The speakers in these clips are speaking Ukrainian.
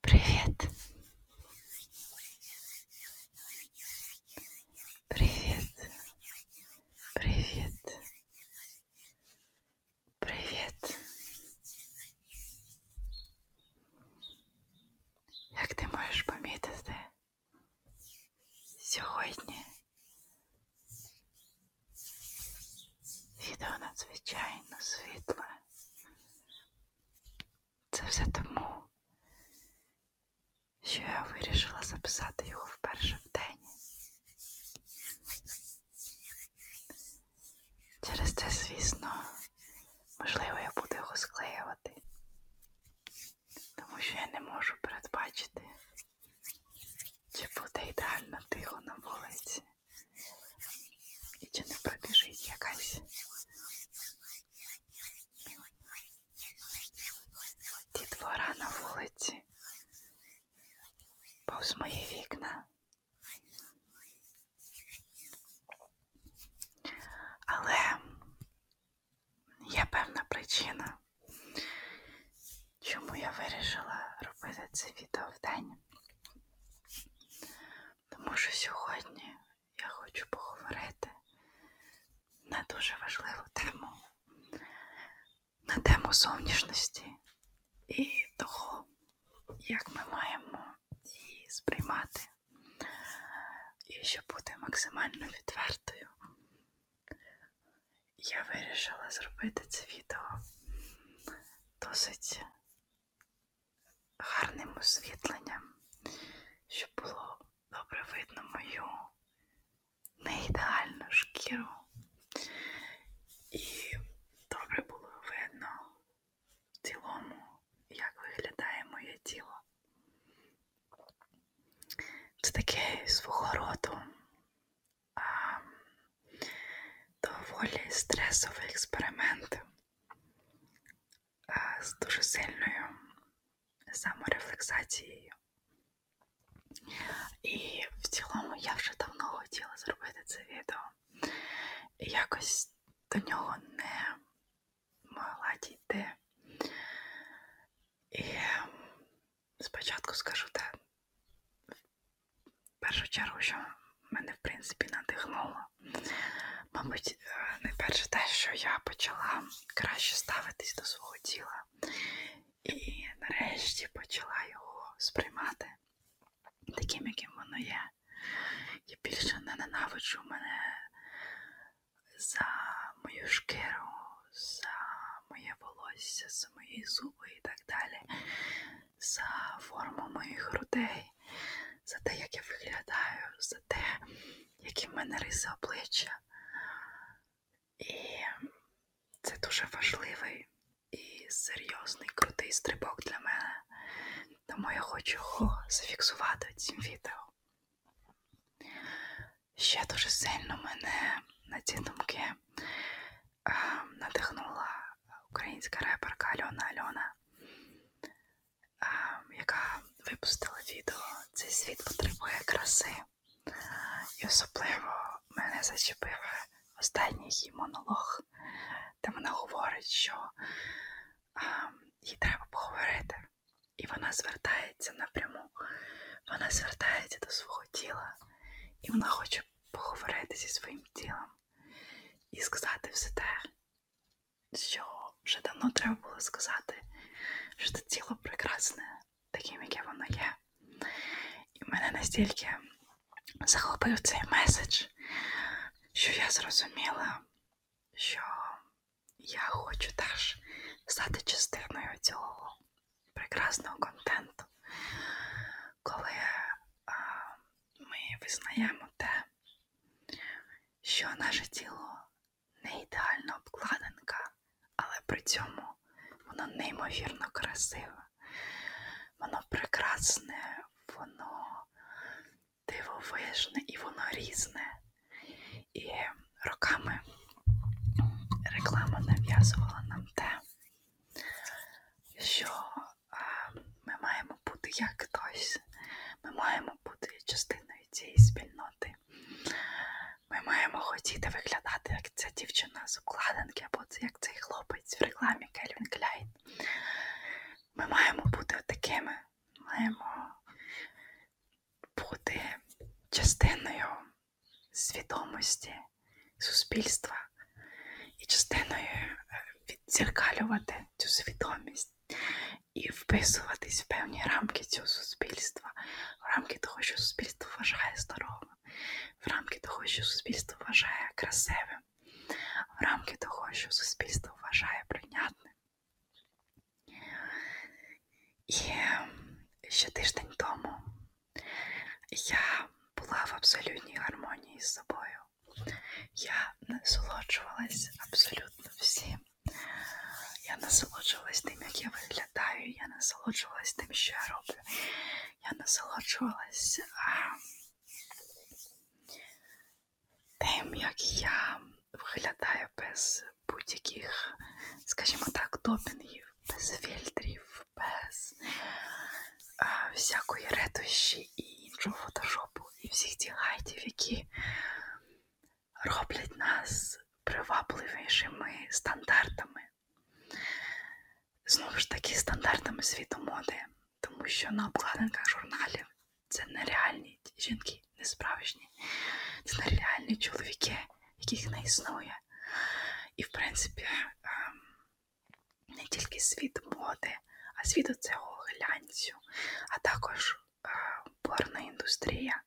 Привет. Привет. Привет. Привет. Як ти можеш помітити, сьогодні відео надзвичайно світле. Це все тому, що я вирішила записати його вперше в день. Через це, звісно, можливо, я буду його склеювати, тому що я не можу передбачити, чи буде ідеально тихо на вулиці, і чи не пробіжить якась ті двора на вулиці повз мої вікна. Але є певна причина, чому я вирішила робити це відео в день. Тому що сьогодні я хочу поговорити на дуже важливу тему, на тему зовнішності і того, як ми маємо її сприймати, і щоб бути максимально відвертою, я вирішила зробити це відео досить гарним освітленням, щоб було добре видно мою неідеальну шкіру. І добре було видно в цілому, як виглядає моє тіло. Це таке свого роду а, доволі стресовий експеримент а, з дуже сильною саморефлексацією. І в цілому я вже давно хотіла зробити це відео. І якось до нього не могла дійти. І спочатку скажу те, в першу чергу, що мене, в принципі, надихнуло. Мабуть, е, найперше те, що я почала краще ставитись до свого тіла. І нарешті почала його сприймати таким, яким воно є. Я більше не ненавиджу мене за мою шкіру, за моє волосся, за мої зуби і так далі, за форму моїх грудей, за те, як я виглядаю, за те, які в мене риси обличчя. І це дуже важливий і серйозний крутий стрибок для мене. Тому я хочу його зафіксувати цим відео. Ще дуже сильно мене на ці думки а, е, надихнула українська реперка Альона Альона, а, е, яка випустила відео Цей світ потребує краси. І особливо мене зачепив останній її монолог, де вона говорить, що а, їй треба поговорити. І вона звертається напряму, вона звертається до свого тіла, і вона хоче поговорити зі своїм тілом і сказати все те, що вже давно треба було сказати, що це тіло прекрасне, таким, яке воно є. І мене настільки захопив цей меседж, що я зрозуміла, що я хочу теж стати частиною цього прекрасного контенту, коли а, ми визнаємо те, що наше тіло не ідеальна обкладинка, але при цьому воно неймовірно красиве, воно прекрасне, воно дивовижне і воно різне. І роками реклама нав'язувала нам те, що ми маємо бути як хтось, ми маємо бути частиною цієї спільноти. Ми маємо хотіти виглядати, як ця дівчина з обкладинки, або як цей хлопець в рекламі Кельвін Кляйн. Ми маємо бути такими, маємо бути частиною свідомості суспільства і частиною е, віддзеркалювати цю свідомість і вписуватись в певні рамки цього суспільства, в рамки того, що суспільство вважає здоровим, в рамки того, що суспільство вважає красивим в рамки того, що суспільство вважає прийнятним. І ще тиждень тому я була в абсолютній гармонії з собою. Я насолоджувалась абсолютно всім. Я насолоджувалась тим, як я виглядаю, я насолоджувалась тим, що я роблю. Я насолоджувалась а, тим, як я виглядаю без будь-яких, скажімо так, допінгів, без фільтрів, без а, е, всякої ретуші і іншого фотошопу, і всіх тих гайтів, які роблять нас привабливішими стандартами. Знову ж таки, стандартами світу моди тому що на обкладинках журналів це нереальні жінки, несправжні, це нереальні чоловіки, яких не існує. І, в принципі, ем, не тільки світ моди, а світ цього глянцю, а також е, порна індустрія.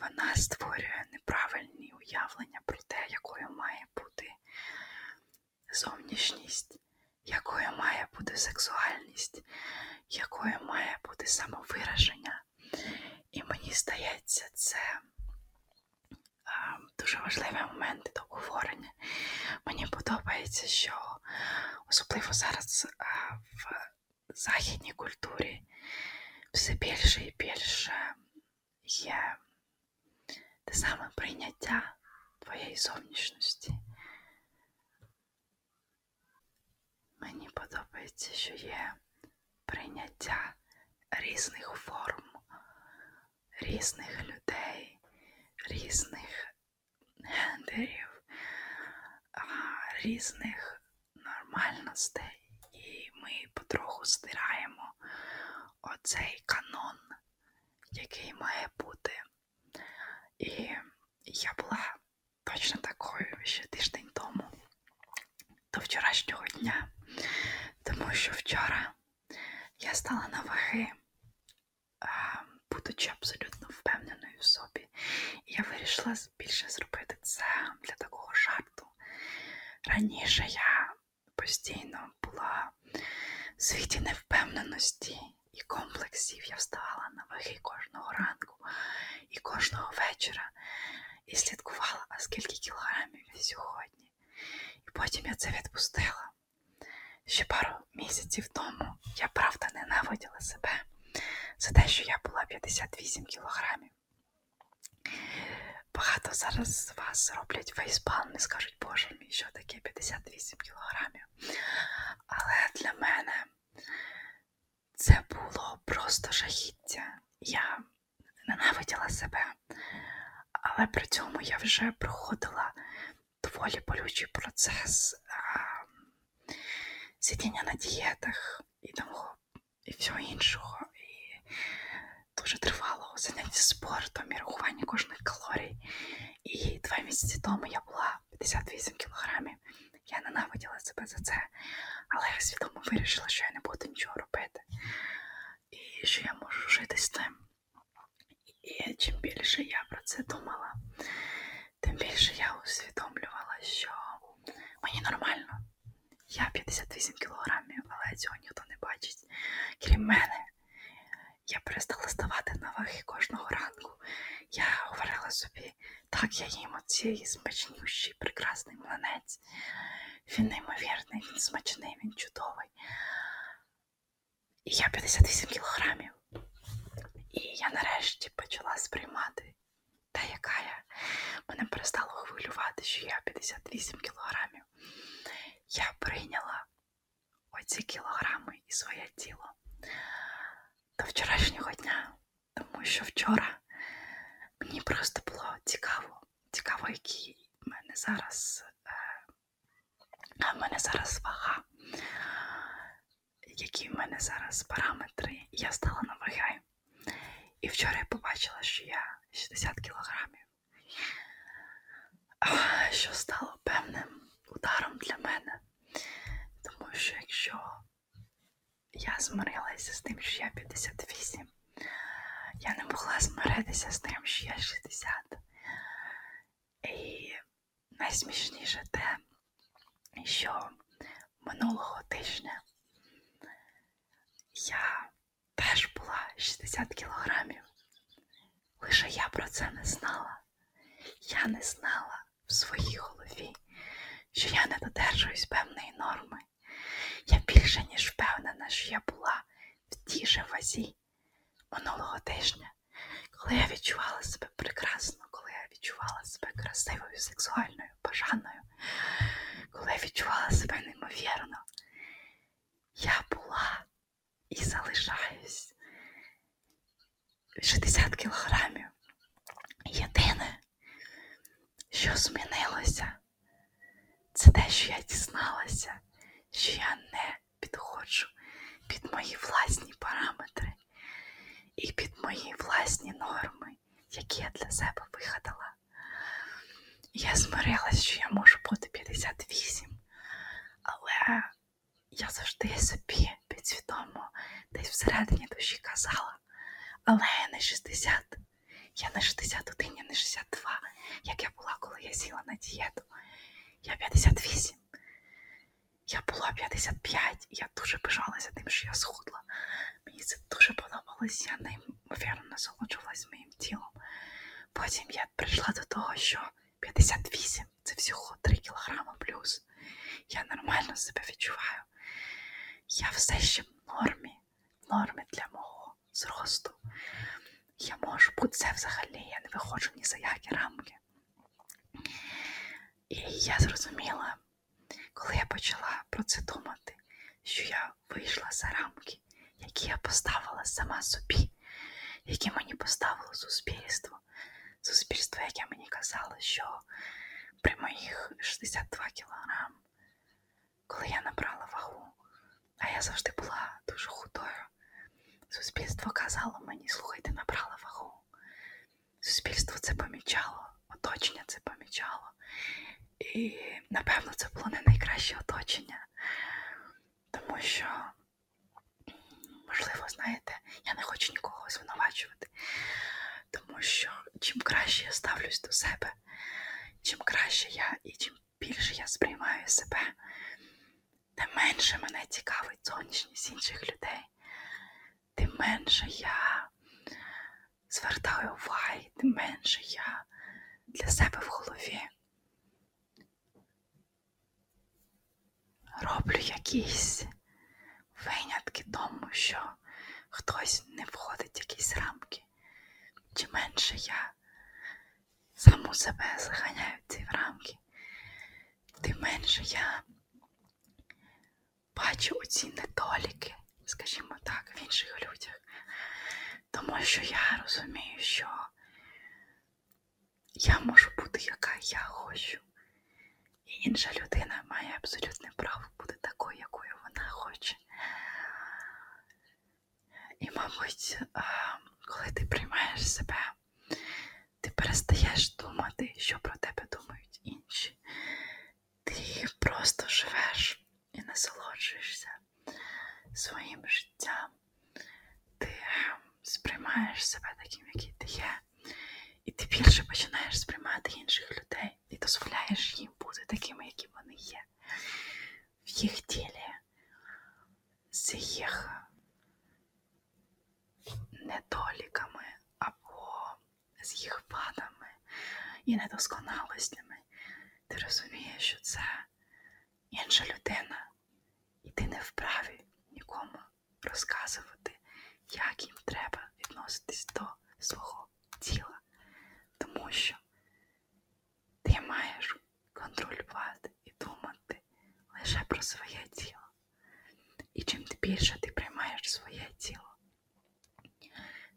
Вона створює неправильні уявлення про те, якою має бути зовнішність, якою має бути сексуальність, якою має бути самовираження. І мені здається, це е, дуже важливий момент до обговорення. Мені подобається, що особливо зараз е, в західній культурі все більше і більше є те саме прийняття твоєї зовнішності. Мені подобається, що є прийняття різних форм, різних людей, різних гендерів, різних нормальностей. І ми потроху стираємо оцей канон, який має бути і я була точно такою ще тиждень тому, до вчорашнього дня, тому що вчора я стала на ваги, будучи абсолютно впевненою в собі. І я вирішила більше зробити це для такого жарту. Раніше я постійно була в світі невпевненості і комплексів. Я вставала на ваги кожного ранку і кожного вечора і слідкувала, а скільки кілограмів я сьогодні. І потім я це відпустила. Ще пару місяців тому я правда ненавиділа себе за те, що я була 58 кілограмів. Багато зараз з вас роблять фейспалм і скажуть, скажуть, боже мій, що таке 58 кілограмів. Але для мене це було просто жахіття. Я ненавиділа себе, але при цьому я вже проходила доволі болючий процес а, сидіння на дієтах і того, і всього іншого. І дуже тривало заняття спортом і рахування кожних калорій. І два місяці тому я була 58 кілограмів. Я ненавиділа себе за це, але я свідомо вирішила, що я не буду нічого робити. І що я можу жити з тим. І чим більше я про це думала, тим більше я усвідомлювала, що мені нормально. Я 58 кілограмів, але цього ніхто не бачить, крім мене. Я перестала ставати на ваги кожного ранку. Я говорила собі, так я їм оцій смачнющий, прекрасний млинець. Він неймовірний, він смачний, він чудовий. І я 58 кілограмів. І я нарешті почала сприймати та, яка я. Мене перестало хвилювати, що я 58 кілограмів. Я прийняла оці кілограми і своє тіло до вчорашнього дня, тому що вчора мені просто було цікаво, цікаво, які в мене зараз е, в мене зараз вага, які в мене зараз параметри. Я стала на вагай. І вчора я побачила, що я 60 кілограмів що стало певним ударом для мене. Тому що якщо я змирилася з тим, що я 58, я не могла змиритися з тим, що я 60. І найсмішніше те, що минулого тижня я теж була 60 кілограмів. Лише я про це не знала. Я не знала в своїй голові, що я не додержуюсь певної норми. Я більше ніж впевнена, що я була в тій же вазі минулого тижня, коли я відчувала себе прекрасно, коли я відчувала себе красивою, сексуальною, бажаною, коли я відчувала себе неймовірно. Я була і залишаюсь. 60 кілограмів. Єдине, що змінилося, це те, що я дізналася, що я не підходжу під мої власні параметри і під мої власні норми, які я для себе вигадала. Я змирилась, що я можу бути 58, але я завжди собі підсвідомо десь всередині душі казала, але я не 60, я не 61, я не 62, як я була, коли я сіла на дієту. Я 58. Я була 55, і я дуже пишалася тим, що я схудла. Мені це дуже подобалось, я неймовірно насолоджувалась моїм тілом. Потім я прийшла до того, що 58 це всього 3 кілограма плюс. Я нормально себе відчуваю. Я все ще в нормі, в нормі для мого зросту. Я можу бути це взагалі, я не виходжу ні за які рамки. І я зрозуміла, коли я почала про це думати, що я вийшла за рамки, які я поставила сама собі завдяки, які мені поставило суспільство. Суспільство, яке мені казало, що при моїх 62 кілограм, коли я набрала вагу, а я завжди була дуже худою. Суспільство казало мені, слухай, ти набрала вагу. Суспільство це помічало, оточення це помічало. І, напевно, це було не найкраще оточення, тому що Можливо, знаєте, я не хочу нікого звинувачувати, тому що чим краще я ставлюсь до себе, чим краще я і чим більше я сприймаю себе, тим менше мене цікавить зовнішність інших людей, тим менше я звертаю уваги, тим менше я для себе в голові. Роблю якісь винятки тому, що хтось не входить в якісь рамки. Чим менше я саму себе заганяю в ці рамки, тим менше я бачу оці недоліки, скажімо так, в інших людях. Тому що я розумію, що я можу бути, яка я хочу. І інша людина має абсолютне право бути такою, якою вона хоче. І, мабуть, коли ти приймаєш себе, ти перестаєш думати, що про тебе думають інші. Ти просто живеш і насолоджуєшся своїм життям ти сприймаєш себе таким, який ти є, і ти більше починаєш сприймати інших людей і дозволяєш їм бути такими, які вони є, в їх тілі, з їх недоліками або з їх падами і недосконалостями. Ти розумієш, що це інша людина, і ти не вправі нікому розказувати, як їм треба відноситись до свого тіла, тому що ти маєш контролювати і думати лише про своє тіло. І чим більше ти приймаєш своє тіло,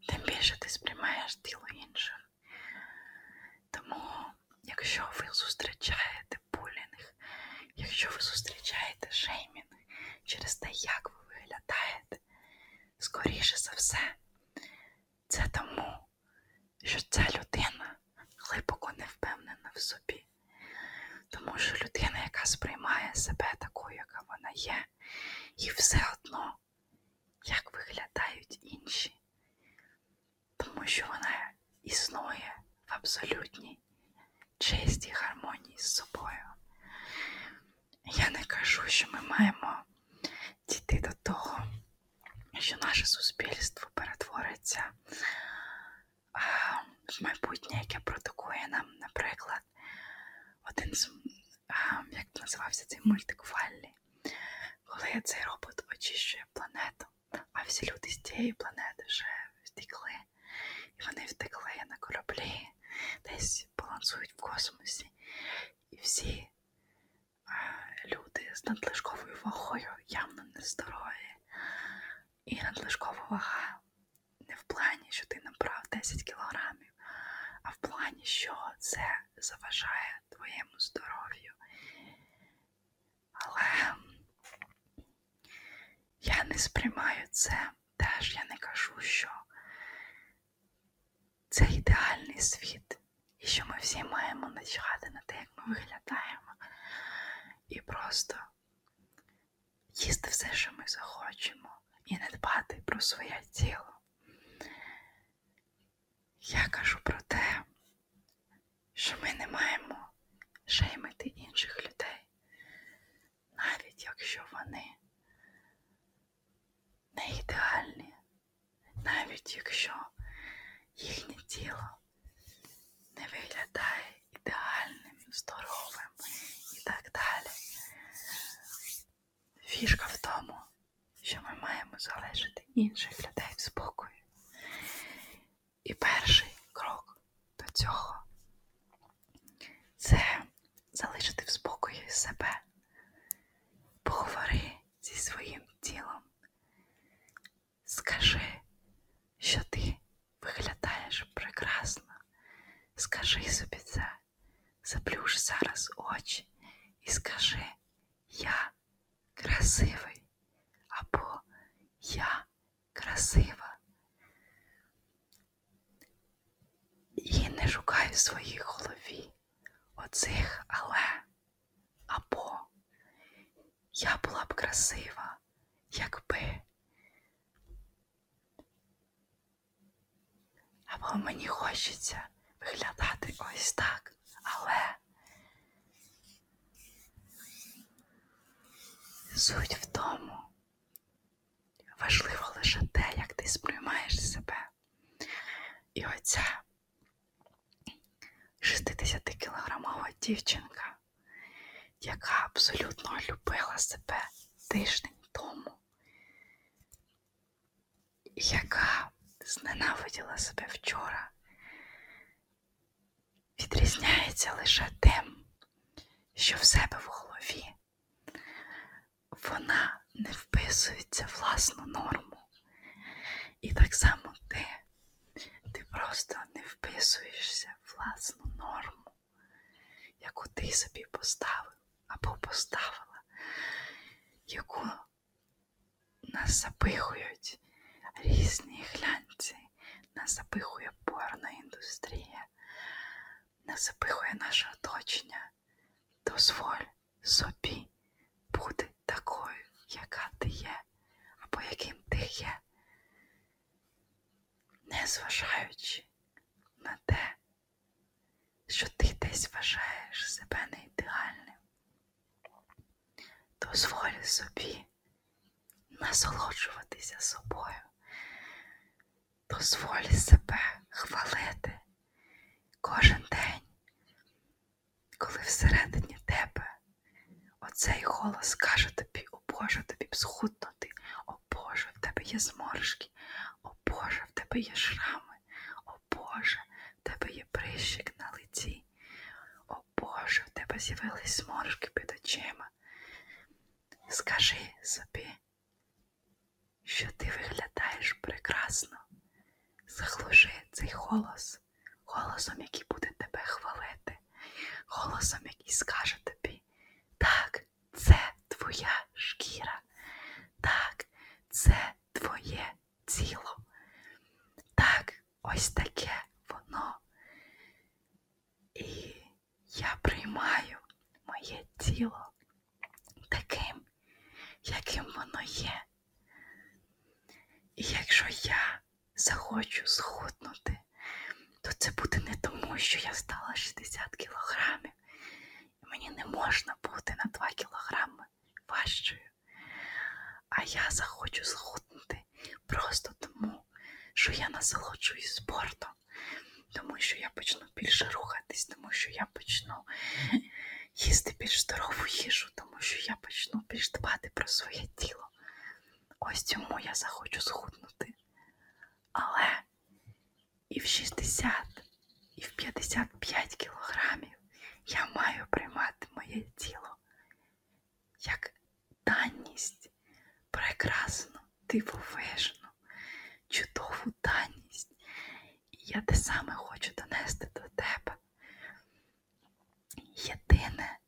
тим більше ти сприймаєш тіло інших. Тому якщо ви зустрічаєте булінг, якщо ви зустрічаєте шеймінг через те, як ви виглядаєте, скоріше за все, це тому, що ця людина глибоко не впевнена в собі. Тому що людина, яка сприймає себе такою, яка вона є, і все одно, як виглядають інші, тому що вона існує в абсолютній чистій гармонії з собою. Я не кажу, що ми маємо дійти до того, що наше суспільство перетвориться в майбутнє, яке продукує нам, наприклад, один з як називався цей мультик Валлі, коли цей робот очищує планету а всі люди з тієї планети вже втекли. І вони втекли на кораблі, десь балансують в космосі. І всі а, е, люди з надлишковою вагою явно нездорові. І надлишкова вага не в плані, що ти набрав 10 кілограмів, а в плані, що це заважає твоєму здоров'ю. Але я не сприймаю це теж, я не кажу, що це ідеальний світ, і що ми всі маємо начати на те, як ми виглядаємо, і просто їсти все, що ми захочемо, і не дбати про своє тіло. Я кажу про те, що ми не маємо шеймити інших людей, навіть якщо вони не ідеальні, навіть якщо їхнє тіло не виглядає ідеальним, здоровим і так далі. Фішка в тому, що ми маємо залишити інших людей в спокою. І перший крок до цього це залишити в спокої себе, поговори зі своїм тілом, скажи, що ти виглядаєш прекрасно, скажи собі це, заплюш зараз очі і скажи, я красивий або я красива. І не шукай в своїй голові оцих але або я була б красива, якби. Або мені хочеться виглядати ось так так. Але суть в тому важливо лише те, як ти сприймаєш себе. І оця 60-кілограмова дівчинка, яка абсолютно любила себе тиждень тому, яка зненавиділа себе вчора, відрізняється лише тим, що в себе в голові вона не вписується в власну норму. І так само ти, ти просто не вписуєшся в власну норму, яку ти собі поставив або поставила, яку нас запихують різні глянці, нас запихує порна індустрія, нас запихує наше оточення. Дозволь собі бути такою, яка ти є, або яким ти є, не зважаючи на те, що ти десь вважаєш себе не ідеальним дозволь собі насолоджуватися собою, дозволь себе хвалити кожен день, коли всередині тебе оцей голос каже тобі, о Боже, тобі схуднути, о Боже, в тебе є зморшки, о Боже, в тебе є шрами, о Боже, в тебе є прищик на лиці. О Боже, в тебе з'явились зморшки під очима. Скажи собі, що ти виглядаєш прекрасно. Заглуши цей голос, голосом, який буде тебе хвалити, голосом, який скаже тобі, так, це твоя шкіра, так, це твоє ціло. Так, ось таке воно. І я приймаю моє тіло таким, яким воно є. І якщо я захочу схуднути, то це буде не тому, що я стала 60 кілограмів, і мені не можна бути на 2 кілограми важчою. А я захочу схуднути просто тому, що я насолоджуюсь спортом, тому що я почну більше рухатись, тому що я почну їсти більш здорову їжу, тому що я почну більш дбати про своє тіло. Ось цьому я захочу схуднути. Але і в 60, і в 55 кілограмів я маю приймати моє тіло як данність, прекрасну, дивовижну, чудову данність. І я те саме хочу донести до тебе. Єдине,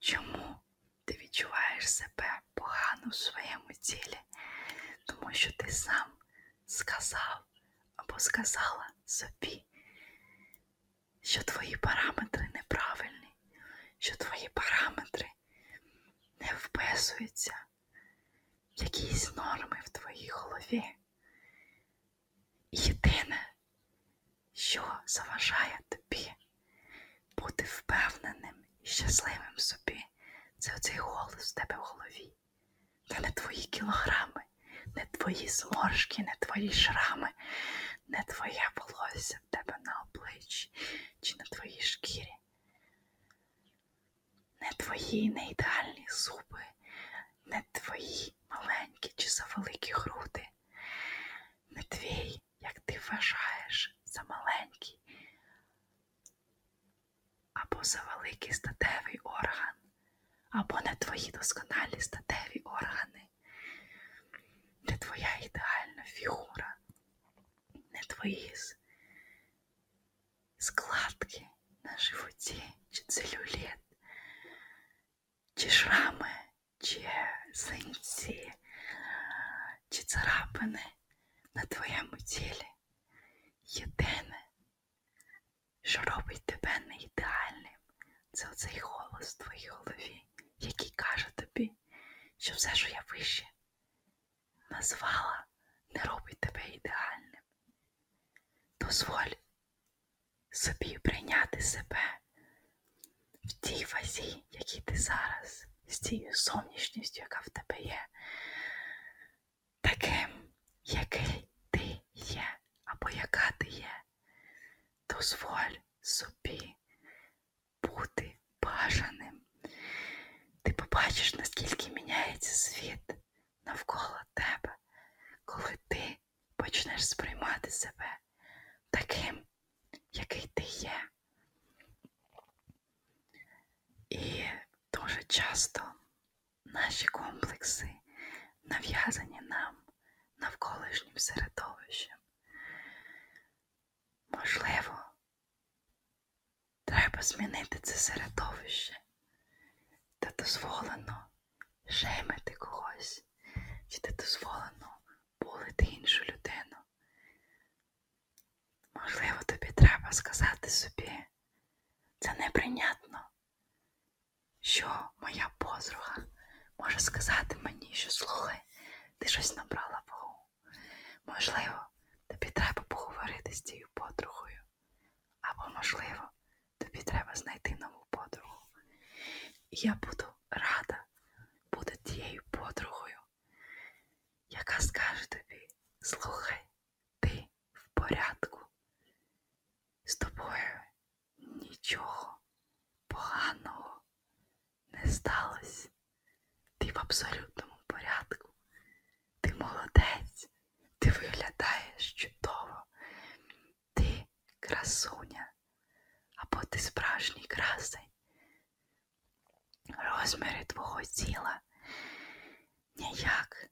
чому ти відчуваєш себе погано в своєму тілі, тому що ти сам сказав або сказала собі, що твої параметри неправильні, що твої параметри не вписуються в якісь норми в твоїй голові. Єдине, що заважає тобі бути впевненим і щасливим собі, це оцей голос в тебе в голові, та не твої кілограми, не твої зморшки, не твої шрами, не твоє волосся в тебе на обличчі чи на твоїй шкірі, не твої неідеальні зуби, не твої маленькі чи завеликі груди, не твій, як ти вважаєш, за маленький або за великий статевий орган або не твої досконалі статеві органи, не твоя ідеальна фігура, не твої складки на животі, чи целюліт, чи шрами, чи синці, чи царапини на твоєму тілі. Єдине, що робить тебе не ідеальним, це оцей голос в твоїй голові, який каже тобі, що все, що я вище назвала, не робить тебе ідеальним. Дозволь собі прийняти себе в тій фазі, якій ти зараз, з тією зовнішністю, яка в тебе є, таким, який ти є або яка ти є дозволь собі бути бажаним. Ти побачиш, наскільки міняється світ навколо тебе, коли ти почнеш сприймати себе таким, який ти є. І дуже часто наші комплекси нав'язані нам навколишнім середовищем. Можливо, треба змінити це середовище, де дозволено жемити когось, чи де дозволено булити іншу людину. Можливо, тобі треба сказати собі, це неприйнятно що моя подруга може сказати мені, що слухай, ти щось набрала вагу. Можливо, тобі треба поговорити з цією подругою. Або, можливо, тобі треба знайти нову подругу. І я буду рада бути тією подругою, яка скаже тобі, слухай, ти в порядку. З тобою Нічого поганого не сталося. Ти в абсолютному порядку. Ти молодець, ти виглядаєш чудово, ти красуня, або ти справжній красень. Розміри твого тіла ніяк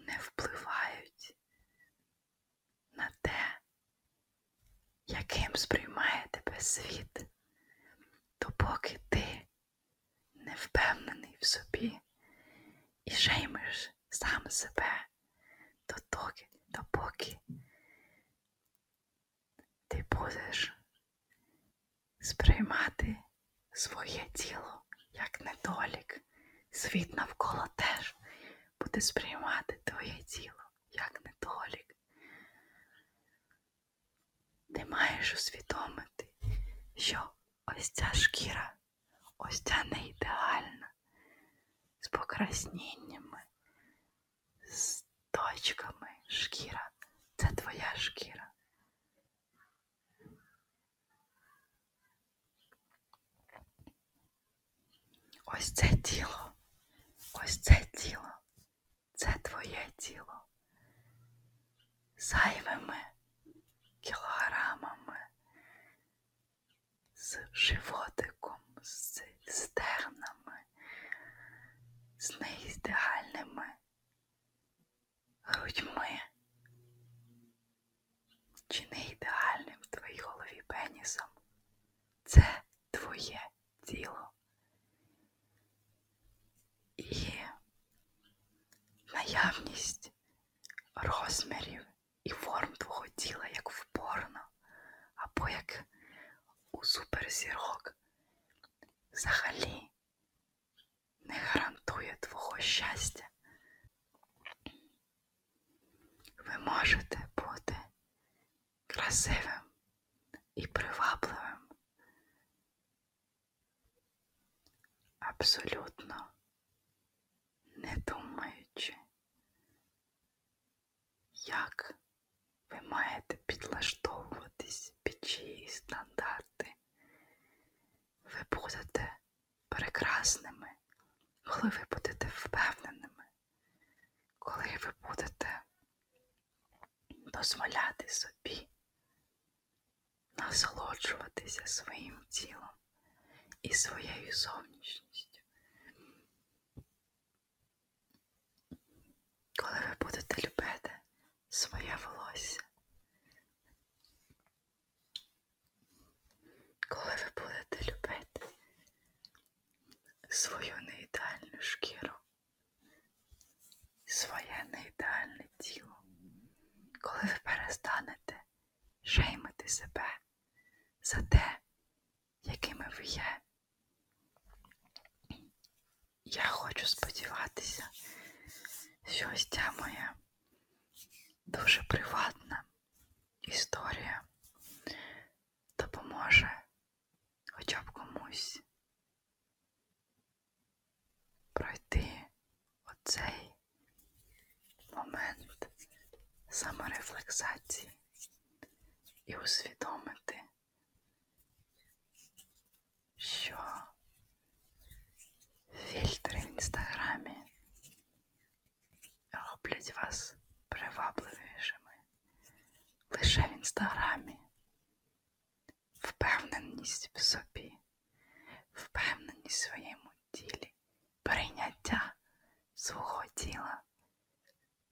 не впливають на те, яким сприймає тебе світ, допоки ти не впевнений в собі і жеймиш сам себе дотоки, допоки ти будеш сприймати своє тіло як недолік, світ навколо теж буде сприймати твоє тіло як недолік. Ти маєш усвідомити, що ось ця шкіра, ось ця не ідеальна, з покрасніннями, з точками шкіра це твоя шкіра. Ось це тіло, ось це тіло, це твоє тіло. Зайвими кілограмами, з животиком, з стернами, з неідеальними грудьми. Чи не ідеальним в твоїй голові пенісом? Це твоє тіло. І наявність розмірів і форм твого тіла, як в порно, або як у суперзірок, взагалі не гарантує твого щастя. Ви можете бути красивим і привабливим абсолютно не думаючи, як ви маєте підлаштовуватись під чиї стандарти, ви будете прекрасними, коли ви будете впевненими, коли ви будете дозволяти собі насолоджуватися своїм тілом і своєю зовнішністю. Коли ви будете любити своє волосся, коли ви будете любити свою неідеальну шкіру, своє неідеальне тіло, коли ви перестанете шеймити себе за те, якими ви є, я хочу сподіватися, що ось ця моя дуже приватна історія допоможе хоча б комусь пройти оцей момент саморефлексації і усвідомити, що фільтри в інстаграмі роблять вас привабливішими лише в інстаграмі, впевненість в собі, впевненість в своєму тілі, прийняття свого тіла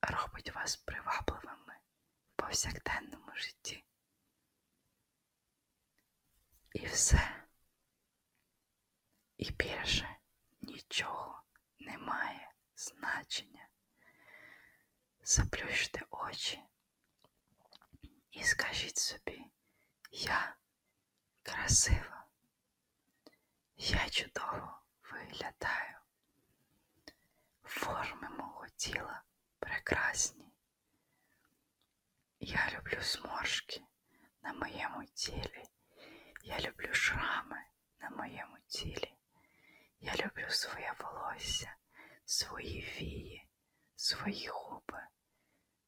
робить вас привабливими в повсякденному житті. І все і більше нічого не має значення. Заплющте очі і скажіть собі, я красива, я чудово виглядаю. Форми мого тіла прекрасні. Я люблю зморшки на моєму тілі. Я люблю шрами на моєму тілі. Я люблю своє волосся, свої вії, свої губи,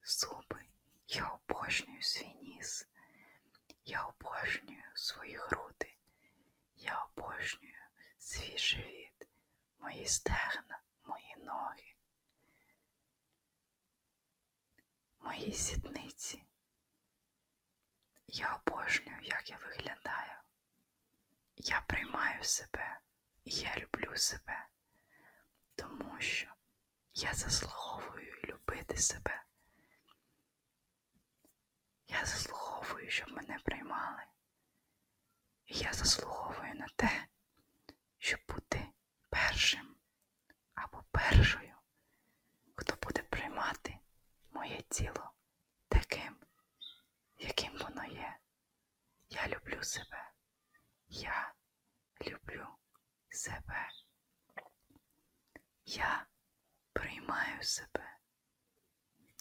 зуби. Я обожнюю свій ніс. Я обожнюю свої груди. Я обожнюю свій живіт, мої стегна, мої ноги мої сідниці. Я обожнюю, як я виглядаю. Я приймаю себе і я люблю себе, тому що я заслуговую любити себе. Я заслуговую, щоб мене приймали. І я заслуговую на те, щоб бути першим або першою, хто буде приймати моє тіло таким, яким воно є. Я люблю себе. Я люблю себе. Я приймаю себе.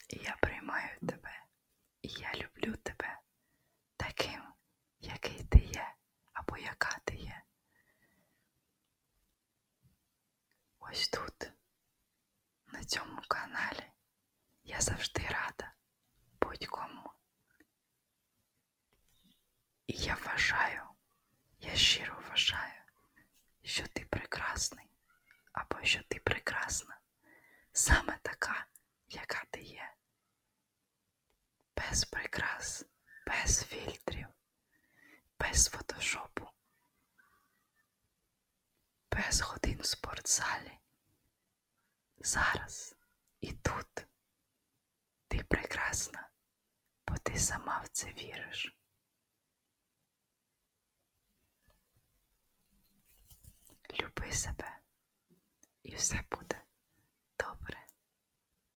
І я приймаю тебе. І я люблю тебе таким, який ти є або яка ти є. Ось тут, на цьому каналі, я завжди рада будь-кому. І я вважаю, я щиро вважаю, що ти прекрасний або що ти прекрасна, саме така, яка ти є без прикрас, без фільтрів, без фотошопу, без годин в спортзалі. Зараз і тут ти прекрасна, бо ти сама в це віриш. Люби себе і все буде добре.